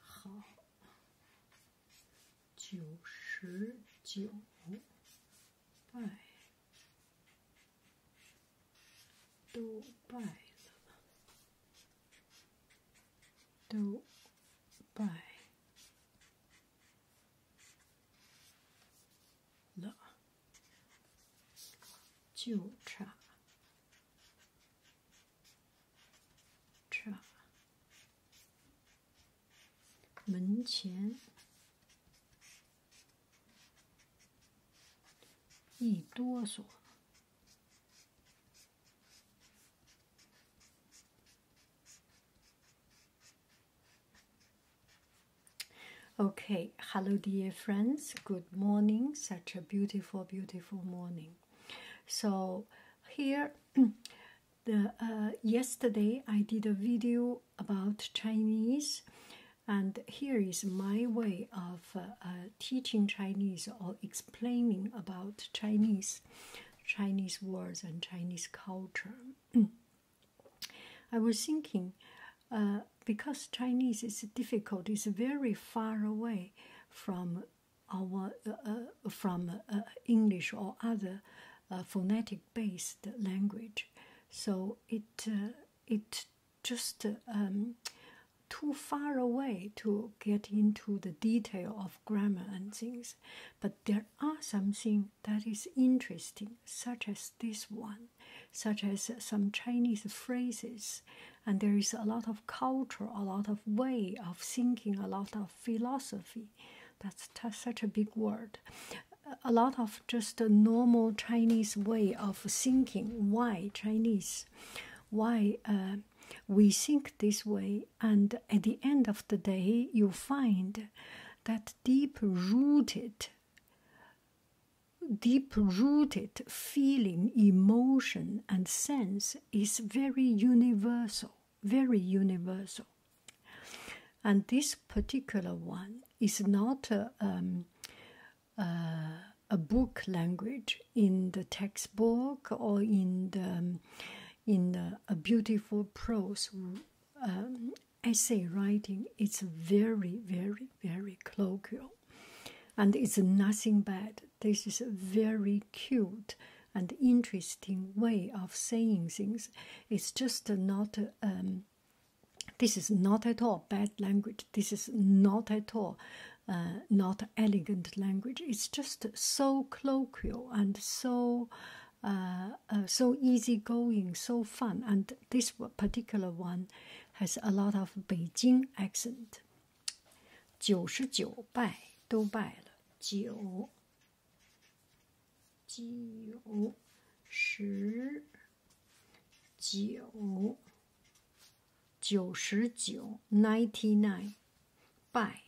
好，九十九，败，都败了，都败了，就差。Okay, hello, dear friends. Good morning. Such a beautiful, beautiful morning. So here, the uh, yesterday I did a video about Chinese, and here is my way of uh, uh, teaching Chinese or explaining about Chinese, Chinese words and Chinese culture. I was thinking, because Chinese is difficult, it's very far away from our uh, uh, from uh, English or other phonetic based language. So it it just um, too far away to get into the detail of grammar and things, but there are something that is interesting, such as this one, such as some Chinese phrases and there is a lot of culture, a lot of way of thinking, a lot of philosophy. That's such a big word. A lot of just a normal Chinese way of thinking. Why Chinese? Why uh, we think this way? And at the end of the day, you find that deep rooted deep rooted feeling, emotion, and sense is very universal, very universal. And this particular one is not a, um, uh, a book language in the textbook or in the, um, in a beautiful prose um, essay writing. It's very, very, very colloquial. And it's nothing bad. This is a very cute and interesting way of saying things. It's just not. Um, this is not at all bad language. This is not at all uh, not elegant language. It's just so colloquial and so uh, uh, so easygoing, so fun. And this particular one has a lot of Beijing accent. 九十九拜，都拜了。九，九，十，九，九十九，ninety nine，拜，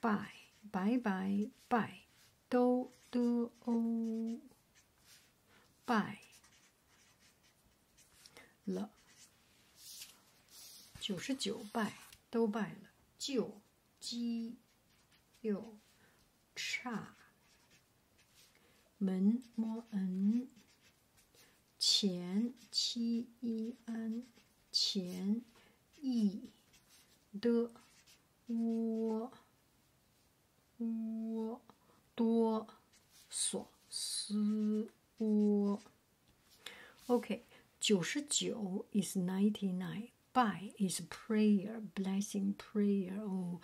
拜，拜拜拜，都的欧，拜。了，九十九拜都拜了，就鸡又差门 m 恩前七一 an 前一的窝。窝多索斯窝。Okay, 99 is 99. By is prayer, blessing prayer. Oh,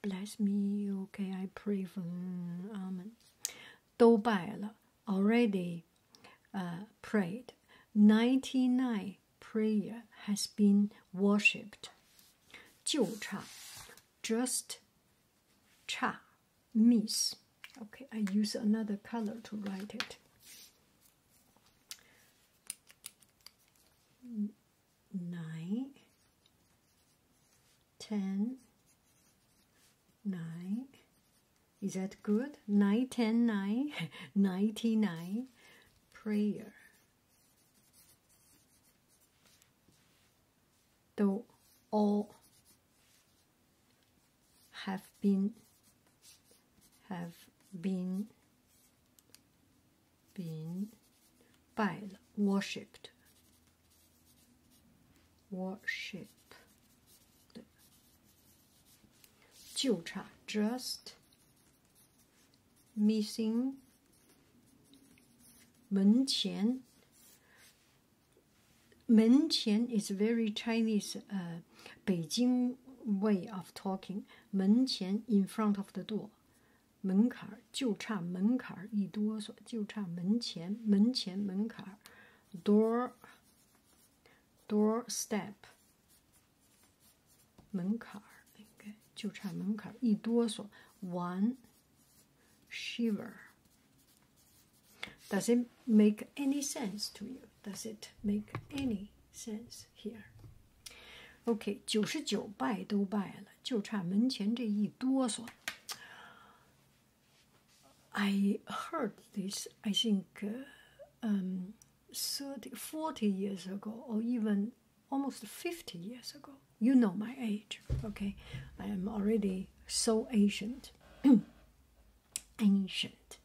bless me. Okay, I pray for mm, Amen. 都拜了，already uh, prayed. 99 prayer has been worshipped. 就差 just cha miss okay i use another color to write it nine ten nine is that good nine ten nine ninety nine prayer though all have been have been been by worshipped worship 就差 just missing Menqian. Menqian is very Chinese uh, Beijing way of talking. Menqian in front of the door. 门槛儿就差门槛儿一哆嗦，就差门前门前门槛儿，door door step 门槛儿应该就差门槛儿一哆嗦，one shiver. Does it make any sense to you? Does it make any sense here? OK，九十九拜都拜了，就差门前这一哆嗦。I heard this, I think, um, 30, 40 years ago, or even almost 50 years ago. You know my age, okay? I am already so ancient. ancient.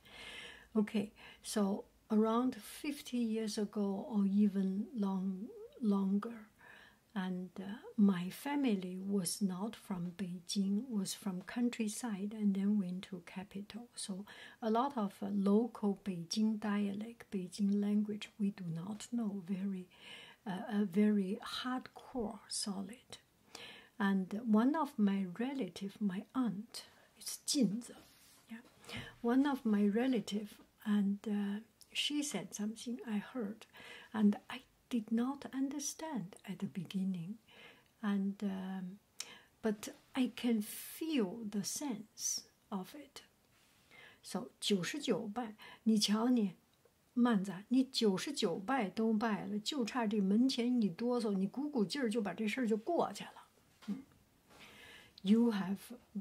Okay, so around 50 years ago or even long longer and uh, my family was not from beijing was from countryside and then went to capital so a lot of uh, local beijing dialect beijing language we do not know very uh, a very hardcore solid. And one of my relative, my aunt, it's Jinze, yeah. One of my relative, and uh, she said something I heard, and I did not understand at the beginning, and um, but I can feel the sense of it. So 九十九拜，你瞧你，曼子，你九十九拜都拜了，就差这门前一哆嗦，你鼓鼓劲儿就把这事儿就过去了。嗯，You have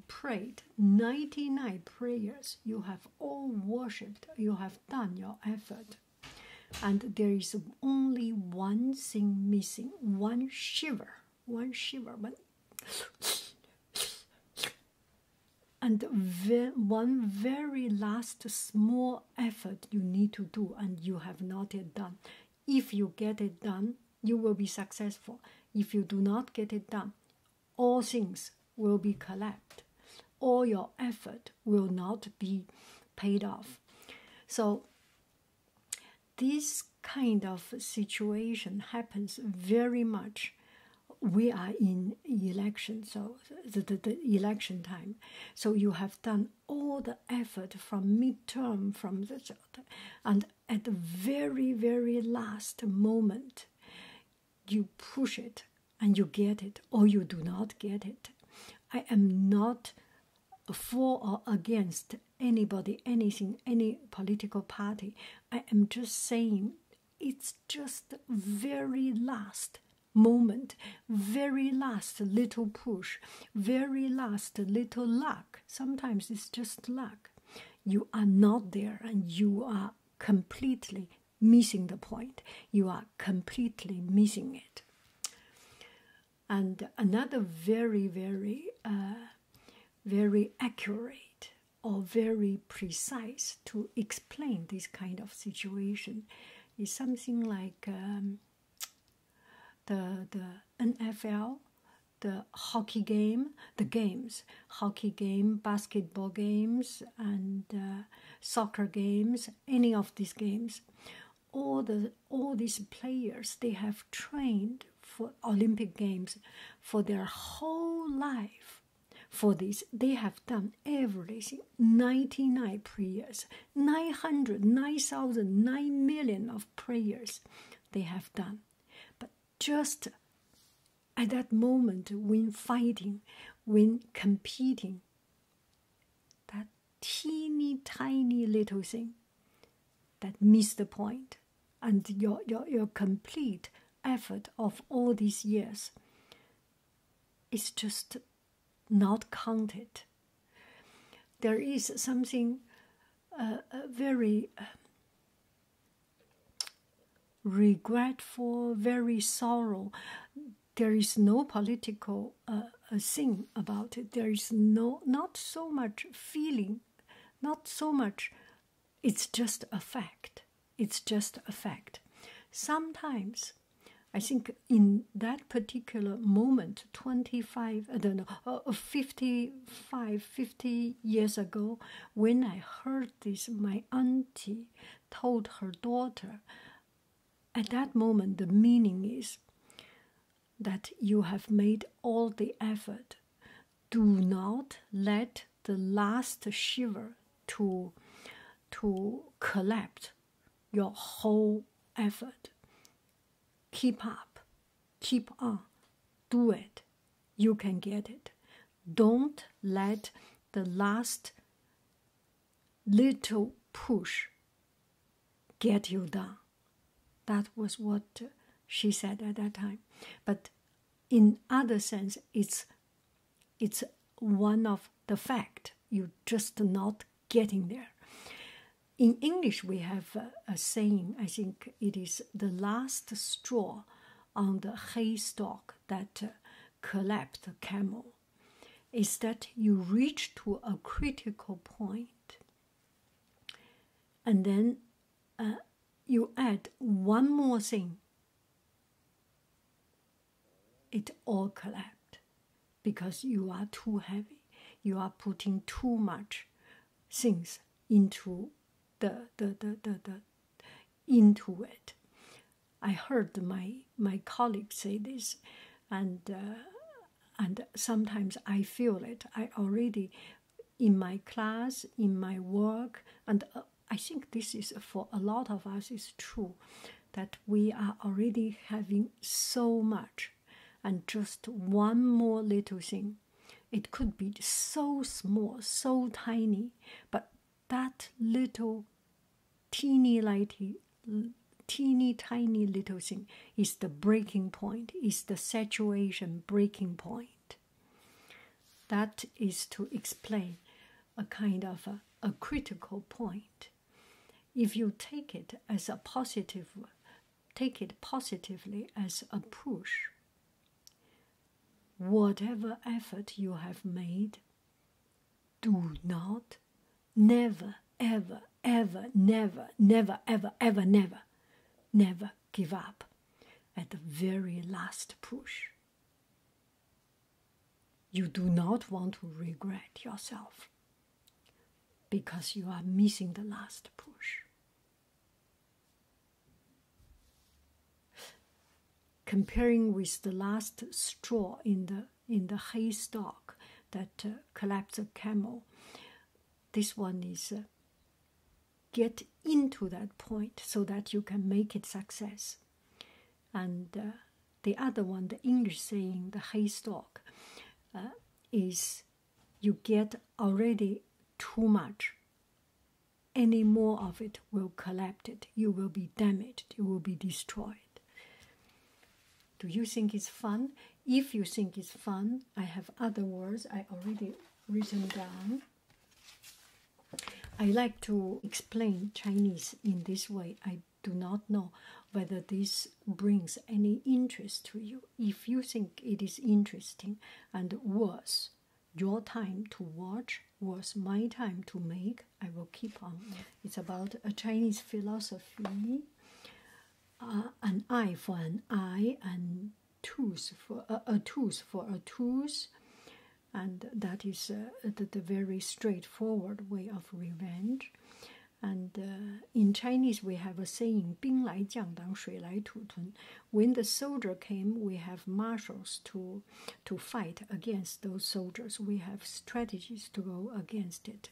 prayed ninety nine prayers. You have all worshipped. You have done your effort. And there is only one thing missing, one shiver, one shiver, and one very last small effort you need to do and you have not yet done if you get it done you will be successful if you do not get it done all things will be collapsed all your effort will not be paid off so this kind of situation happens very much. We are in election, so the, the, election time. So you have done all the effort from midterm, from the and at the very, very last moment, you push it and you get it, or you do not get it. I am not for or against anybody, anything, any political party. I am just saying it's just the very last moment, very last little push, very last little luck. Sometimes it's just luck. You are not there and you are completely missing the point. You are completely missing it. And another very, very, uh, very accurate or very precise to explain this kind of situation. is something like um, the the NFL, the hockey game, the games, hockey game, basketball games, and uh, soccer games. Any of these games, all the all these players they have trained for Olympic Games for their whole life. For this, they have done everything 99 prayers, 900, of prayers they have done. But just at that moment, when fighting, when competing, that teeny tiny little thing that miss the point and your, your, your complete effort of all these years is just not counted. There is something uh, uh, very um, regretful, very sorrow. There is no political uh, thing about it. There is no not so much feeling, not so much it's just a fact. It's just a fact. Sometimes, I think in that particular moment, 25, I don't know, uh, uh, fifty five, fifty years ago, when I heard this, my auntie told her daughter, at that moment, the meaning is that you have made all the effort do not let the last shiver to to collapse your whole effort keep up keep on do it you can get it don't let the last little push get you down that was what she said at that time. But in other sense, it's it's one of the fact. You're just not getting there. In English, we have a, saying. I think it is the last straw on the haystack that uh, collapsed the camel. Is that you reach to a critical point and then uh, you add one more thing, it all collapsed because you are too heavy. You are putting too much things into the the the the, the into it. I heard my my colleague say this, and uh, and sometimes I feel it. I already in my class, in my work, and uh, I think this is uh, for a lot of us is true that we are already having so much, and just one more little thing. It could be so small, so tiny, but that little teeny lighty, teeny tiny little thing is the breaking point, is the saturation breaking point. That is to explain a kind of a critical point. If you take it as a positive, take it positively as a push. Whatever effort you have made, do not, never, ever, ever, never, never, ever, ever, never, never give up at the very last push. You do not want to regret yourself because you are missing the last push. Comparing with the last straw in the in the haystack that uh, collapsed a camel, this one is uh, get into that point so that you can make it success and uh, the other one the english saying the haystack uh, is you get already too much any more of it will collapse it you will be damaged you will be destroyed do you think it's fun if you think it's fun, I have other words I already written down. I like to explain Chinese in this way. I do not know whether this brings any interest to you. If you think it is interesting and worth your time to watch, was my time to make, I will keep on. It's about a Chinese philosophy. Uh, an eye for an eye, and tooth for a tooth for a tooth, and that is uh, the, very straightforward way of revenge. And uh, in Chinese, we have a saying, 兵来将挡，水来土屯. When the soldier came, we have marshals to, to fight against those soldiers. We have strategies to go against it.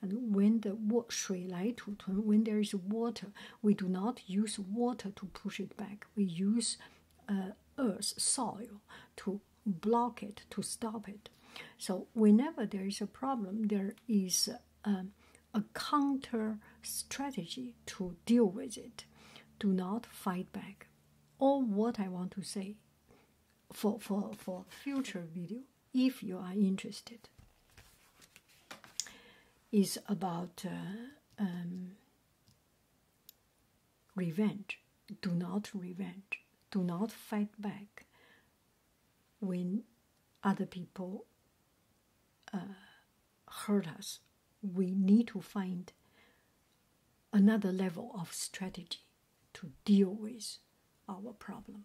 And when the shui when there is water, we do not use water to push it back. We use uh, earth, soil, to block it, to stop it. So whenever there is a problem, there is um, a counter strategy to deal with it. Do not fight back. Or what I want to say for for for future video if you are interested, is about uh, um, revenge. Do not revenge. Do not fight back when other people uh, hurt us. We need to find another level of strategy to deal with our problem